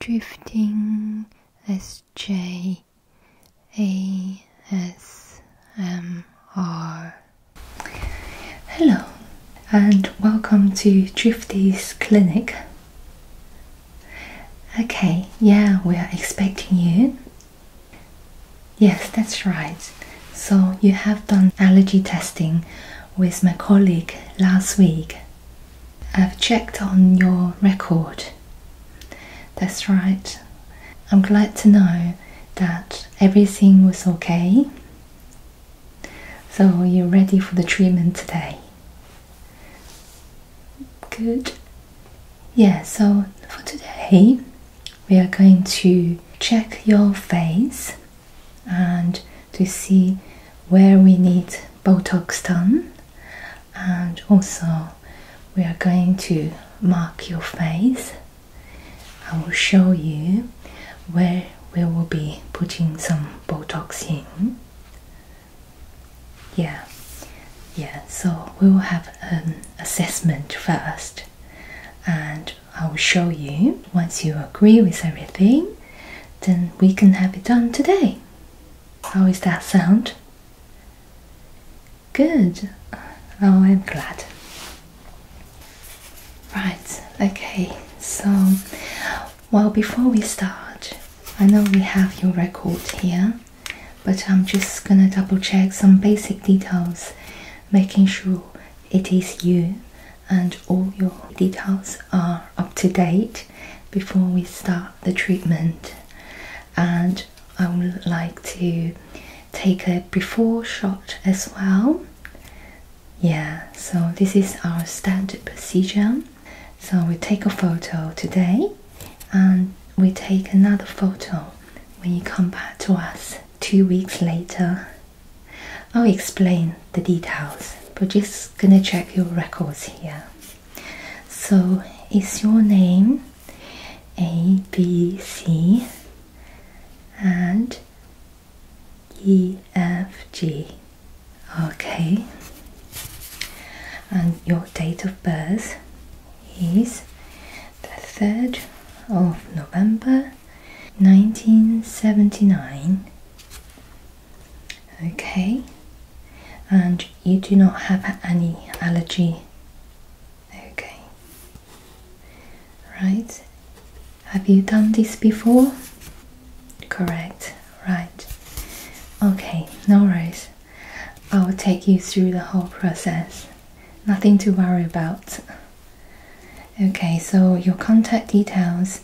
Drifting S J A S M R. Hello, and welcome to Drifty's Clinic. Okay, yeah, we are expecting you. Yes, that's right. So, you have done allergy testing with my colleague last week. I've checked on your record. That's right. I'm glad to know that everything was okay. So, you're ready for the treatment today. Good. Yeah, so for today, we are going to check your face and to see where we need Botox done, and also we are going to mark your face. I will show you where we will be putting some Botox in. Yeah, yeah, so we will have an assessment first, and I will show you once you agree with everything, then we can have it done today. How is that sound? Good. Oh, I'm glad. Right, okay, so well, before we start, I know we have your record here, but I'm just gonna double check some basic details, making sure it is you and all your details are up to date before we start the treatment and I would like to take a before shot as well. Yeah, so this is our standard procedure. So we take a photo today and we take another photo when you come back to us two weeks later. I'll explain the details, but just gonna check your records here. So, is your name A, B, C, and E, F, G? Okay. And your date of birth is the 3rd of November 1979. Okay, and you do not have any allergy. Okay, right. Have you done this before? Correct, right. Okay, no worries. I will take you through the whole process. Nothing to worry about. Okay, so your contact details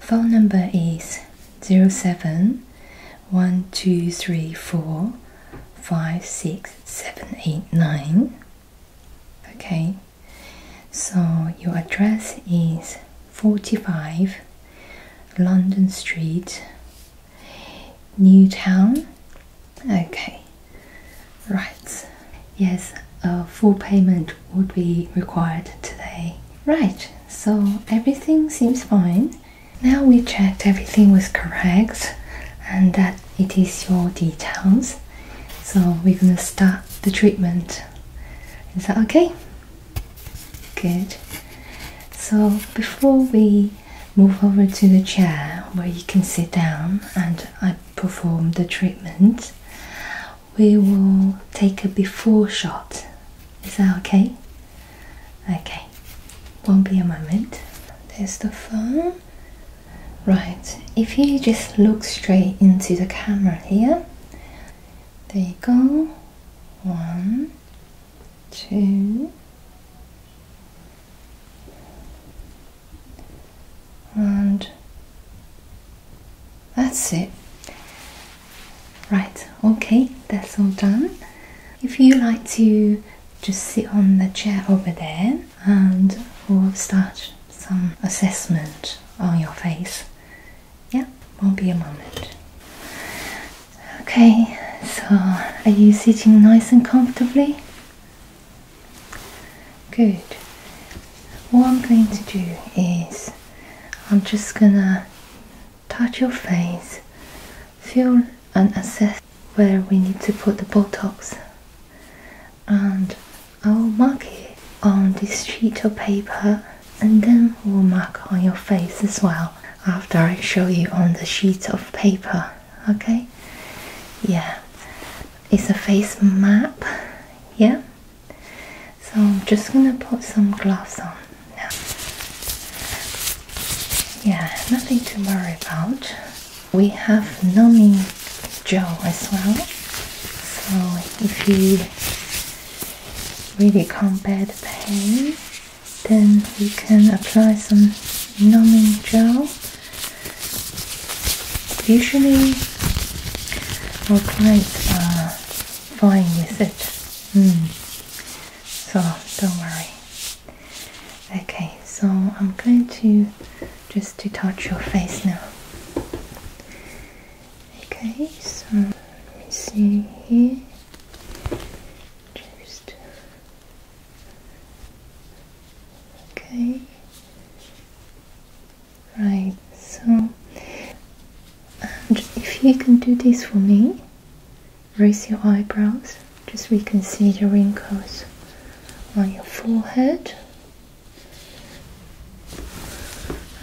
phone number is zero seven one two three four five six seven eight nine. Okay, so your address is forty five London Street, Newtown. Okay, right. Yes, a uh, full payment would be required today. Right, so everything seems fine. Now we checked everything was correct and that it is your details. So we're gonna start the treatment. Is that okay? Good. So before we move over to the chair where you can sit down and I perform the treatment, we will take a before shot is that okay? Okay, won't be a moment. There's the phone. Right, if you just look straight into the camera here, there you go. One, two, and that's it. Right, okay, that's all done. If you like to just sit on the chair over there and we'll start some assessment on your face. Yeah, won't be a moment. Okay, so are you sitting nice and comfortably? Good. What I'm going to do is I'm just gonna touch your face, feel and assess where we need to put the Botox. And I'll mark it on this sheet of paper and then we'll mark on your face as well after I show you on the sheet of paper. Okay? Yeah. It's a face map. Yeah? So I'm just gonna put some gloves on now. Yeah, nothing to worry about. We have numbing gel as well. So if you really can't combat the pain, then you can apply some numbing gel. Usually, our clients are fine with it. Hmm. So don't worry. Okay, so I'm going to just to touch your face now. Okay, so let me see here. Just okay. Right, so and if you can do this for me, raise your eyebrows, just so we can see the wrinkles on your forehead.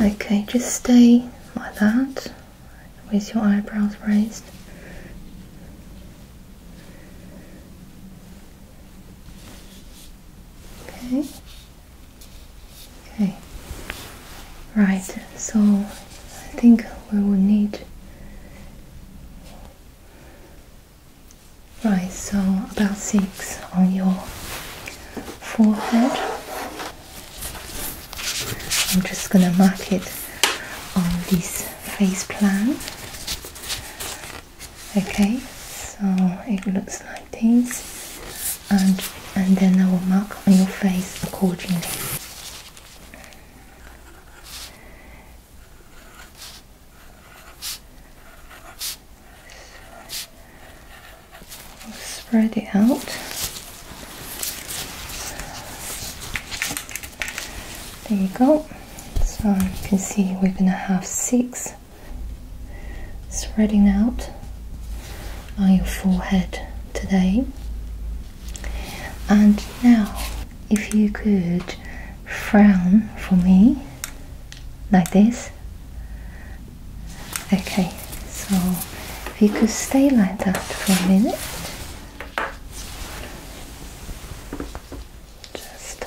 Okay, just stay like that with your eyebrows raised. Okay, Okay. Right. So I think we will need. Right. So about six on your forehead. I'm just gonna mark it on this face plan. Okay. So it looks like this and, and then I will mark on your face accordingly. spread it out. There you go. So you can see we're gonna have six spreading out on your forehead today. And now, if you could frown for me like this. Okay, so if you could stay like that for a minute. Just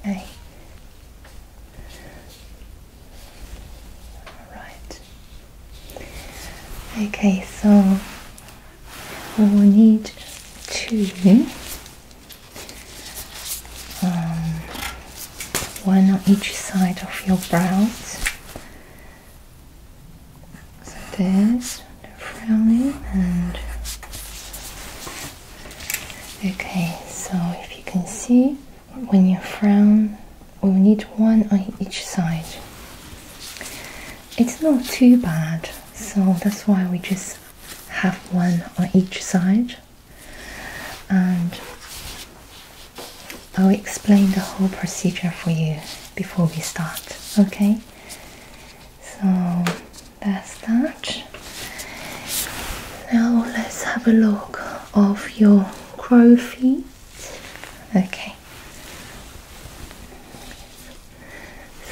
okay. Alright. Okay, so we will need two. Um, one on each side of your brows. So there's the frowning and okay, so if you can see when you frown, we will need one on each side. It's not too bad, so that's why we just have one on each side. And I'll explain the whole procedure for you before we start, okay? So that's that. Now let's have a look of your crow feet. Okay.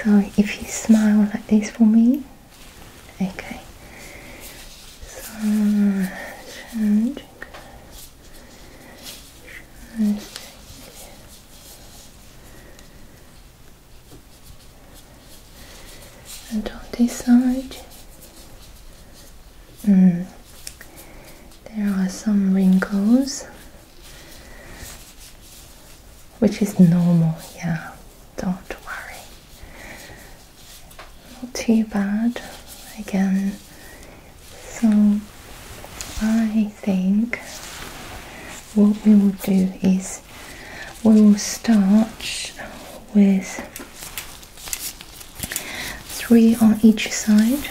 So if you smile like this for me, okay. So change. And on this side, mm. There are some wrinkles, which is normal, yeah, don't worry. Not too bad again. So, I think what we will do is we will start with three on each side.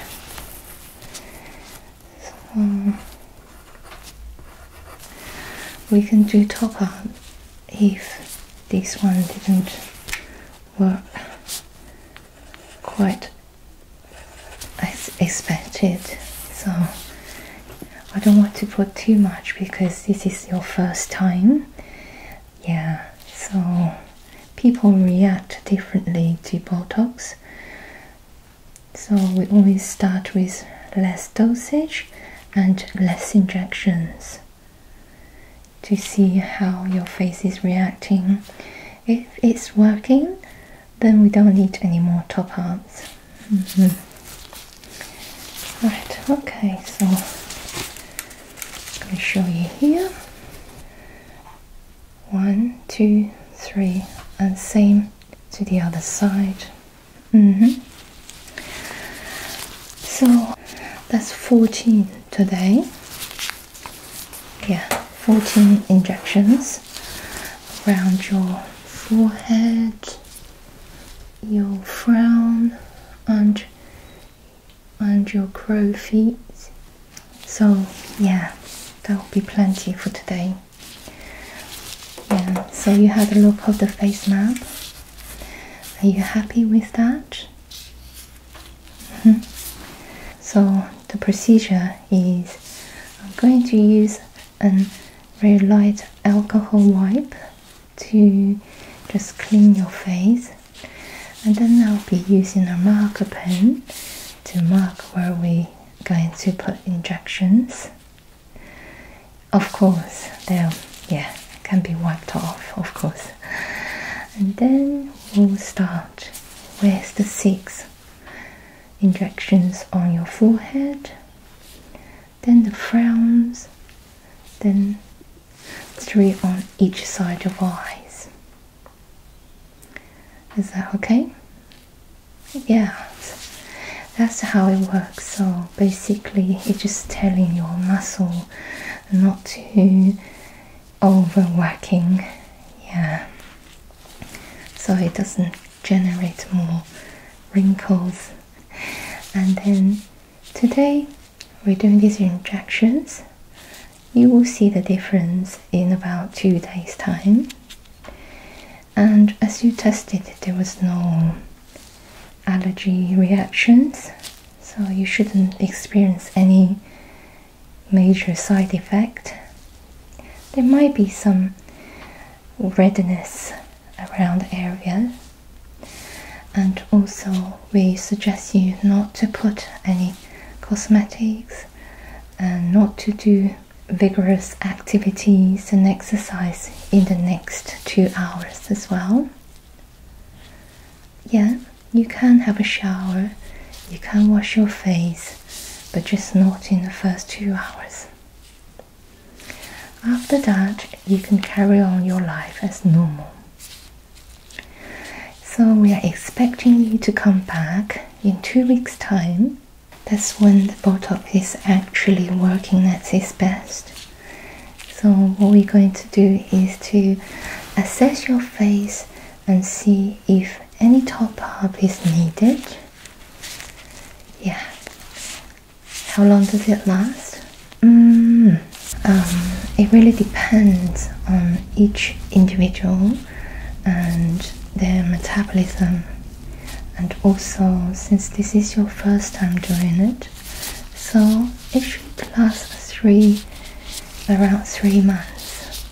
we can do top up if this one didn't work quite as expected. So I don't want to put too much because this is your first time yeah, so people react differently to Botox. So we always start with less dosage and less injections to see how your face is reacting. If it's working, then we don't need any more top ups. Mm-hmm. Right, okay, so I'm going to show you here one two three and same to the other side mm-hmm. so that's 14 today yeah 14 injections around your forehead your frown and and your crow feet. So yeah, that will be plenty for today. Yeah, so you had a look of the face map. Are you happy with that? Mm-hmm. so the procedure is I'm going to use a very light alcohol wipe to just clean your face and then I'll be using a marker pen to mark where we're going to put injections. Of course, they'll yeah can be wiped off, of course. And then we'll start Where's the six injections on your forehead, then the frowns, then three on each side of eyes. Is that okay? Yeah, that's how it works. So basically, it's just telling your muscle not to over working. Yeah, so it doesn't generate more wrinkles. And then today we're doing these injections. You will see the difference in about two days' time. And as you tested, there was no allergy reactions, so you shouldn't experience any major side effect. There might be some redness around the area and also we suggest you not to put any cosmetics and not to do vigorous activities and exercise in the next two hours as well. Yeah, you can have a shower, you can wash your face, but just not in the first two hours. After that, you can carry on your life as normal. So we are expecting you to come back in two weeks' time. That's when the Botox is actually working at its best. So what we're going to do is to assess your face and see if any top up is needed. Yeah. How long does it last? Mm, um, it really depends on each individual and their metabolism, and also since this is your first time doing it, so it should last three around three months.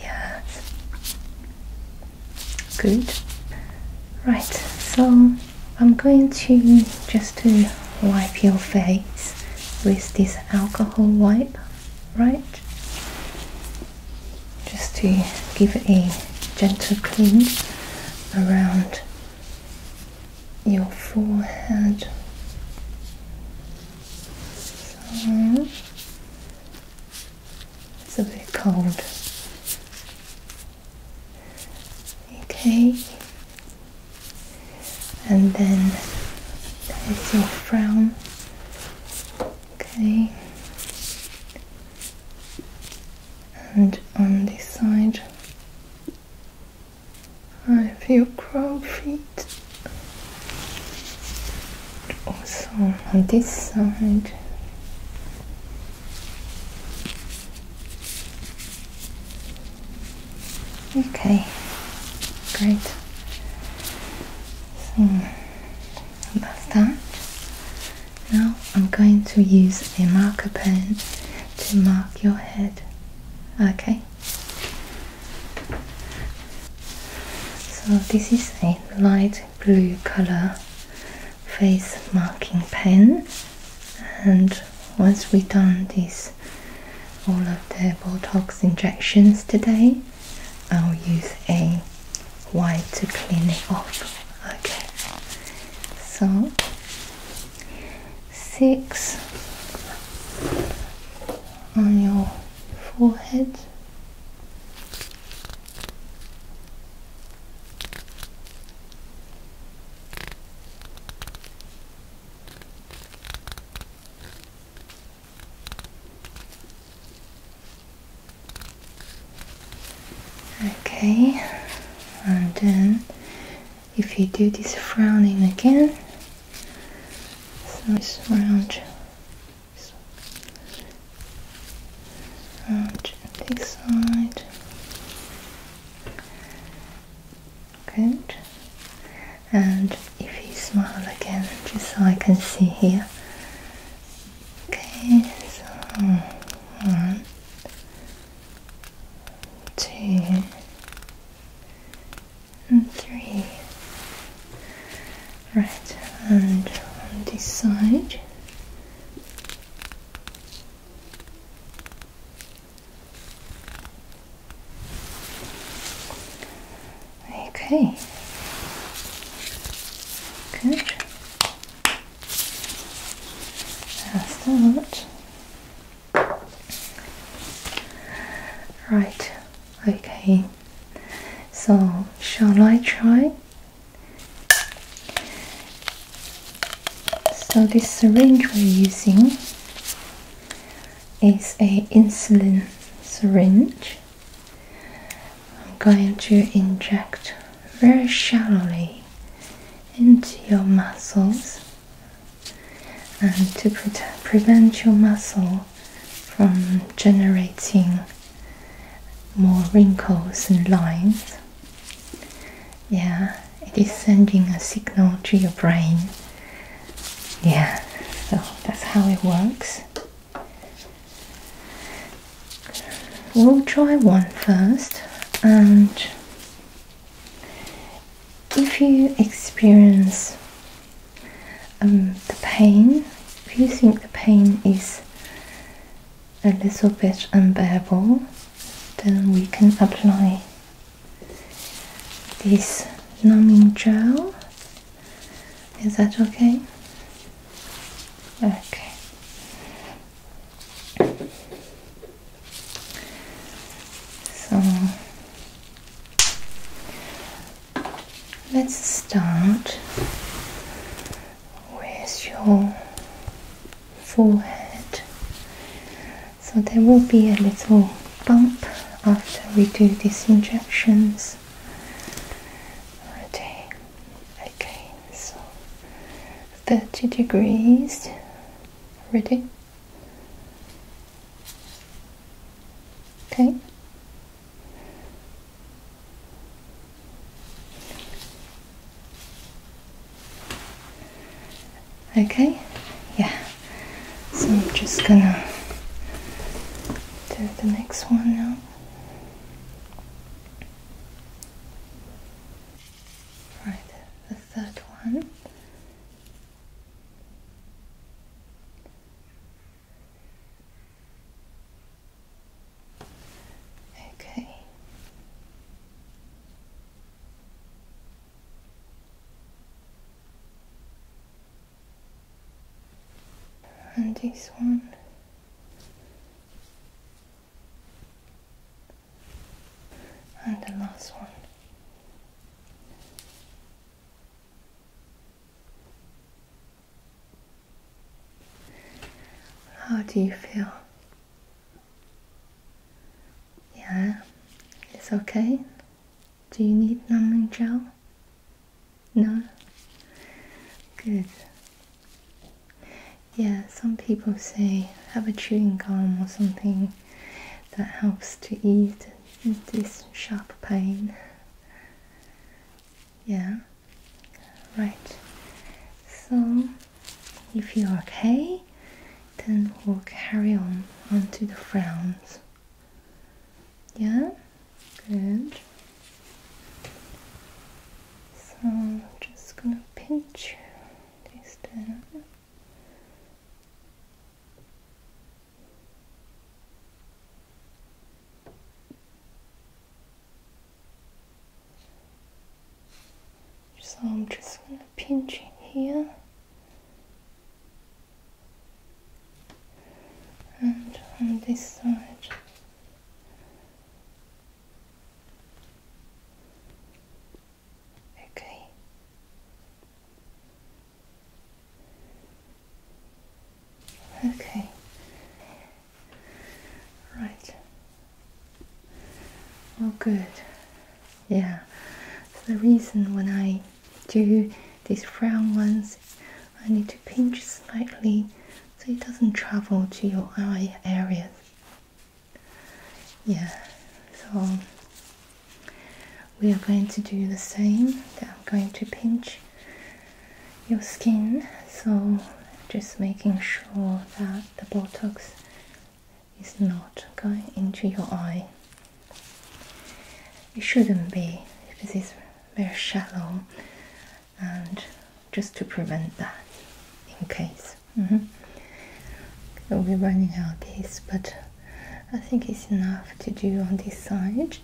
Yes, good. Right, so I'm going to just to wipe your face with this alcohol wipe, right? Just to give it a gentle clean around your forehead. it's a bit cold. Okay, and then it's your frown. Okay, and on this side, I have your crow feet. Also on this side. Okay, great. So that's that. Now I'm going to use a marker pen to mark your head. Okay. So this is a light blue color face marking pen and once we've done this all of the Botox injections today, I'll use a wipe to clean it off. Okay, so six on your forehead. Okay, and then if you do this frowning again, so it's round, round this side, Good. And if you smile again, just so I can see here. Okay, so one, two, and three. Right, and on this side. Okay. Good. That's that. Right. Okay. So, shall I try? So this syringe we're using is a insulin syringe. I'm going to inject very shallowly into your muscles and to prevent your muscle from generating more wrinkles and lines. Yeah, it is sending a signal to your brain yeah, so that's how it works. We'll try one first, and if you experience um, the pain, if you think the pain is a little bit unbearable, then we can apply this numbing gel. Is that okay? Okay. So let's start with your forehead. So there will be a little bump after we do these injections. Ready? Okay, so 30 degrees. Ready? Okay. Okay, yeah. So I'm just gonna do the next one now. Right, the third one. Okay and this one and the last one how do you feel? Yeah, it's okay. Do you need numbing gel? No? Good. Yeah, some people say have a chewing gum or something that helps to ease this sharp pain. Yeah, right. So, if you're okay, then we'll carry on onto the frowns. Yeah? Good. So I'm just gonna pinch this down. So I'm just gonna pinch it here and on this side. Okay. Okay. Right. Oh, good. Yeah. The reason when I do these round ones. I need to pinch slightly so it doesn't travel to your eye areas. Yeah, so we are going to do the same. I'm going to pinch your skin, so just making sure that the Botox is not going into your eye. It shouldn't be if it is very shallow and just to prevent that in case. Mm-hmm. We'll be running out of this but I think it's enough to do on this side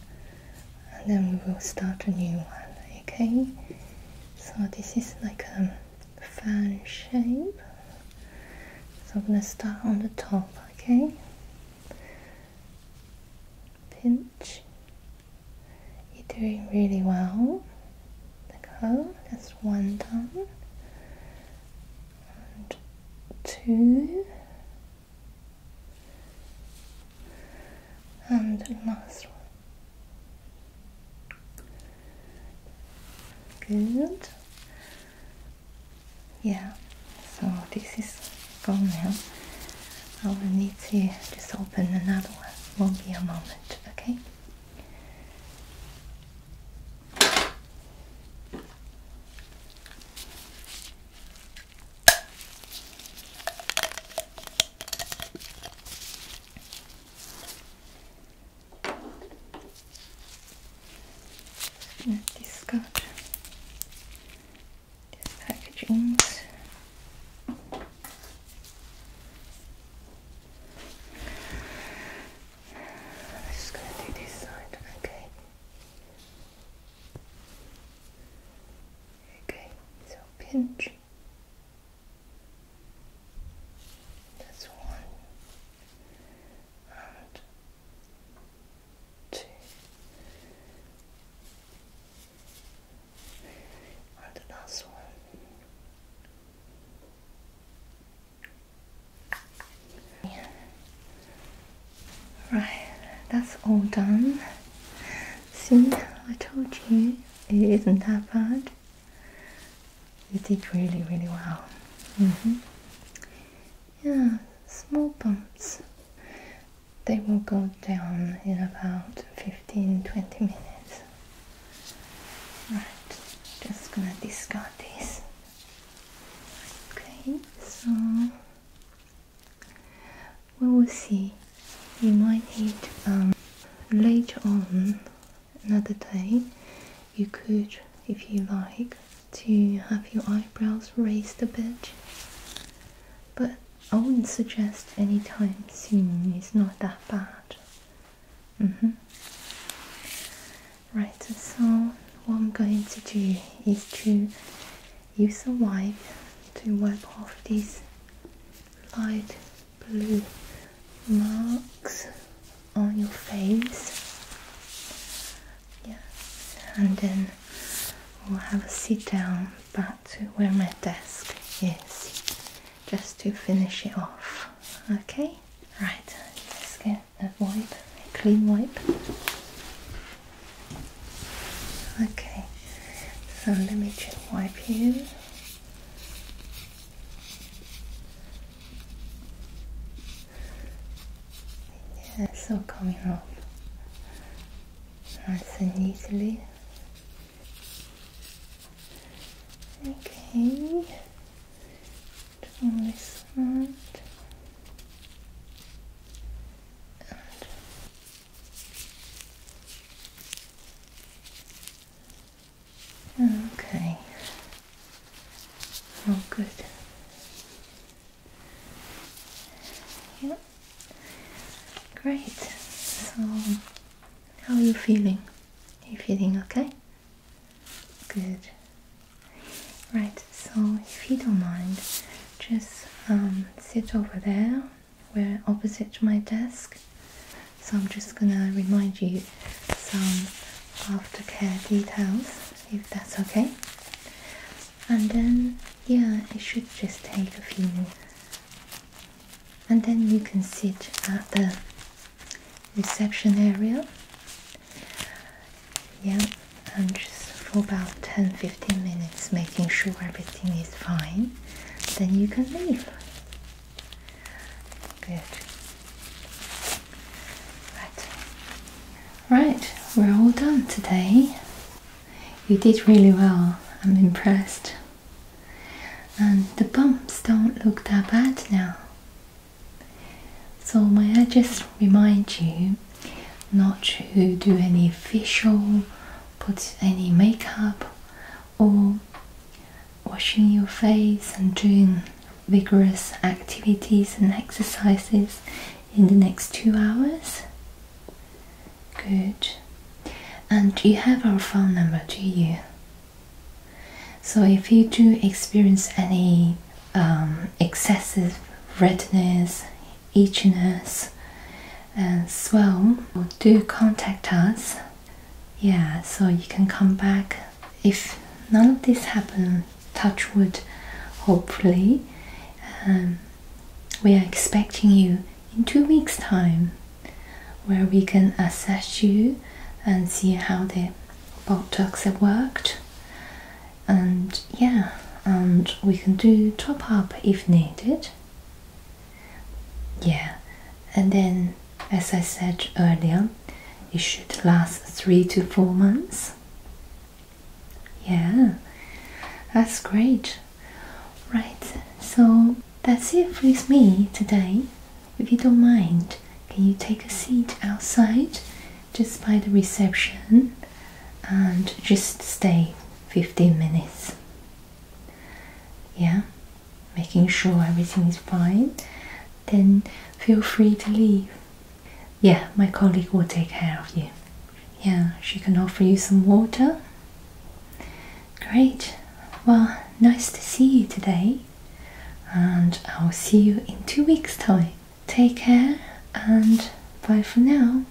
and then we will start a new one, okay? So this is like a fan shape. So I'm gonna start on the top, okay? Pinch. You're doing really well. Let go. That's one done. And two. And last one. Good. Yeah, so this is gone now. I will need to just open another one. Won't be a moment, okay? Let this go. This packaging. I'm just gonna do this side, okay? Okay, so pinch. That's one. And two. And the last one. Right, that's all done. See, I told you it isn't that bad. You did really, really well. Mm -hmm yeah, small bumps. They will go down in about 15-20 minutes. Right, just gonna discard this. Okay, so we will see. You might need um, later on another day. You could, if you like, to have your eyebrows raised a bit, but I wouldn't suggest any time soon, it's not that bad. Mm-hmm. Right, so what I'm going to do is to use a wipe to wipe off these light blue marks on your face Yes, and then we'll have a sit down back to where my desk is just to finish it off. Okay, right, let's get a wipe, a clean wipe. Okay, so let me just wipe you. Yeah, it's all coming off nice and neatly. Okay, turn this side. Okay. Oh, good. Yeah. Great. So, how are you feeling? Are you feeling okay? Good. Right. So, if you don't mind, just um, sit over there, where opposite my desk. So I'm just gonna remind you some aftercare details, if that's okay and then yeah it should just take a few and then you can sit at the reception area yeah and just for about 10-15 minutes making sure everything is fine then you can leave good right Right, we're all done today. You did really well, I'm impressed. And the bumps don't look that bad now. So, may I just remind you not to do any facial, put any makeup, or washing your face and doing vigorous activities and exercises in the next two hours? Good. And you have our phone number, do you? So if you do experience any um, excessive redness, itchiness, and swell, do contact us. Yeah, so you can come back. If none of this happens touch wood, hopefully. Um, we are expecting you in two weeks' time, where we can assess you and see how the Botox have worked. And yeah, and we can do top up if needed. Yeah, and then as I said earlier, it should last three to four months. Yeah, that's great. Right, so that's it with me today. If you don't mind, can you take a seat outside just by the reception and just stay 15 minutes? Yeah, making sure everything is fine. Then feel free to leave yeah, my colleague will take care of you. Yeah, she can offer you some water. Great. Well, nice to see you today. And I'll see you in two weeks' time. Take care and bye for now.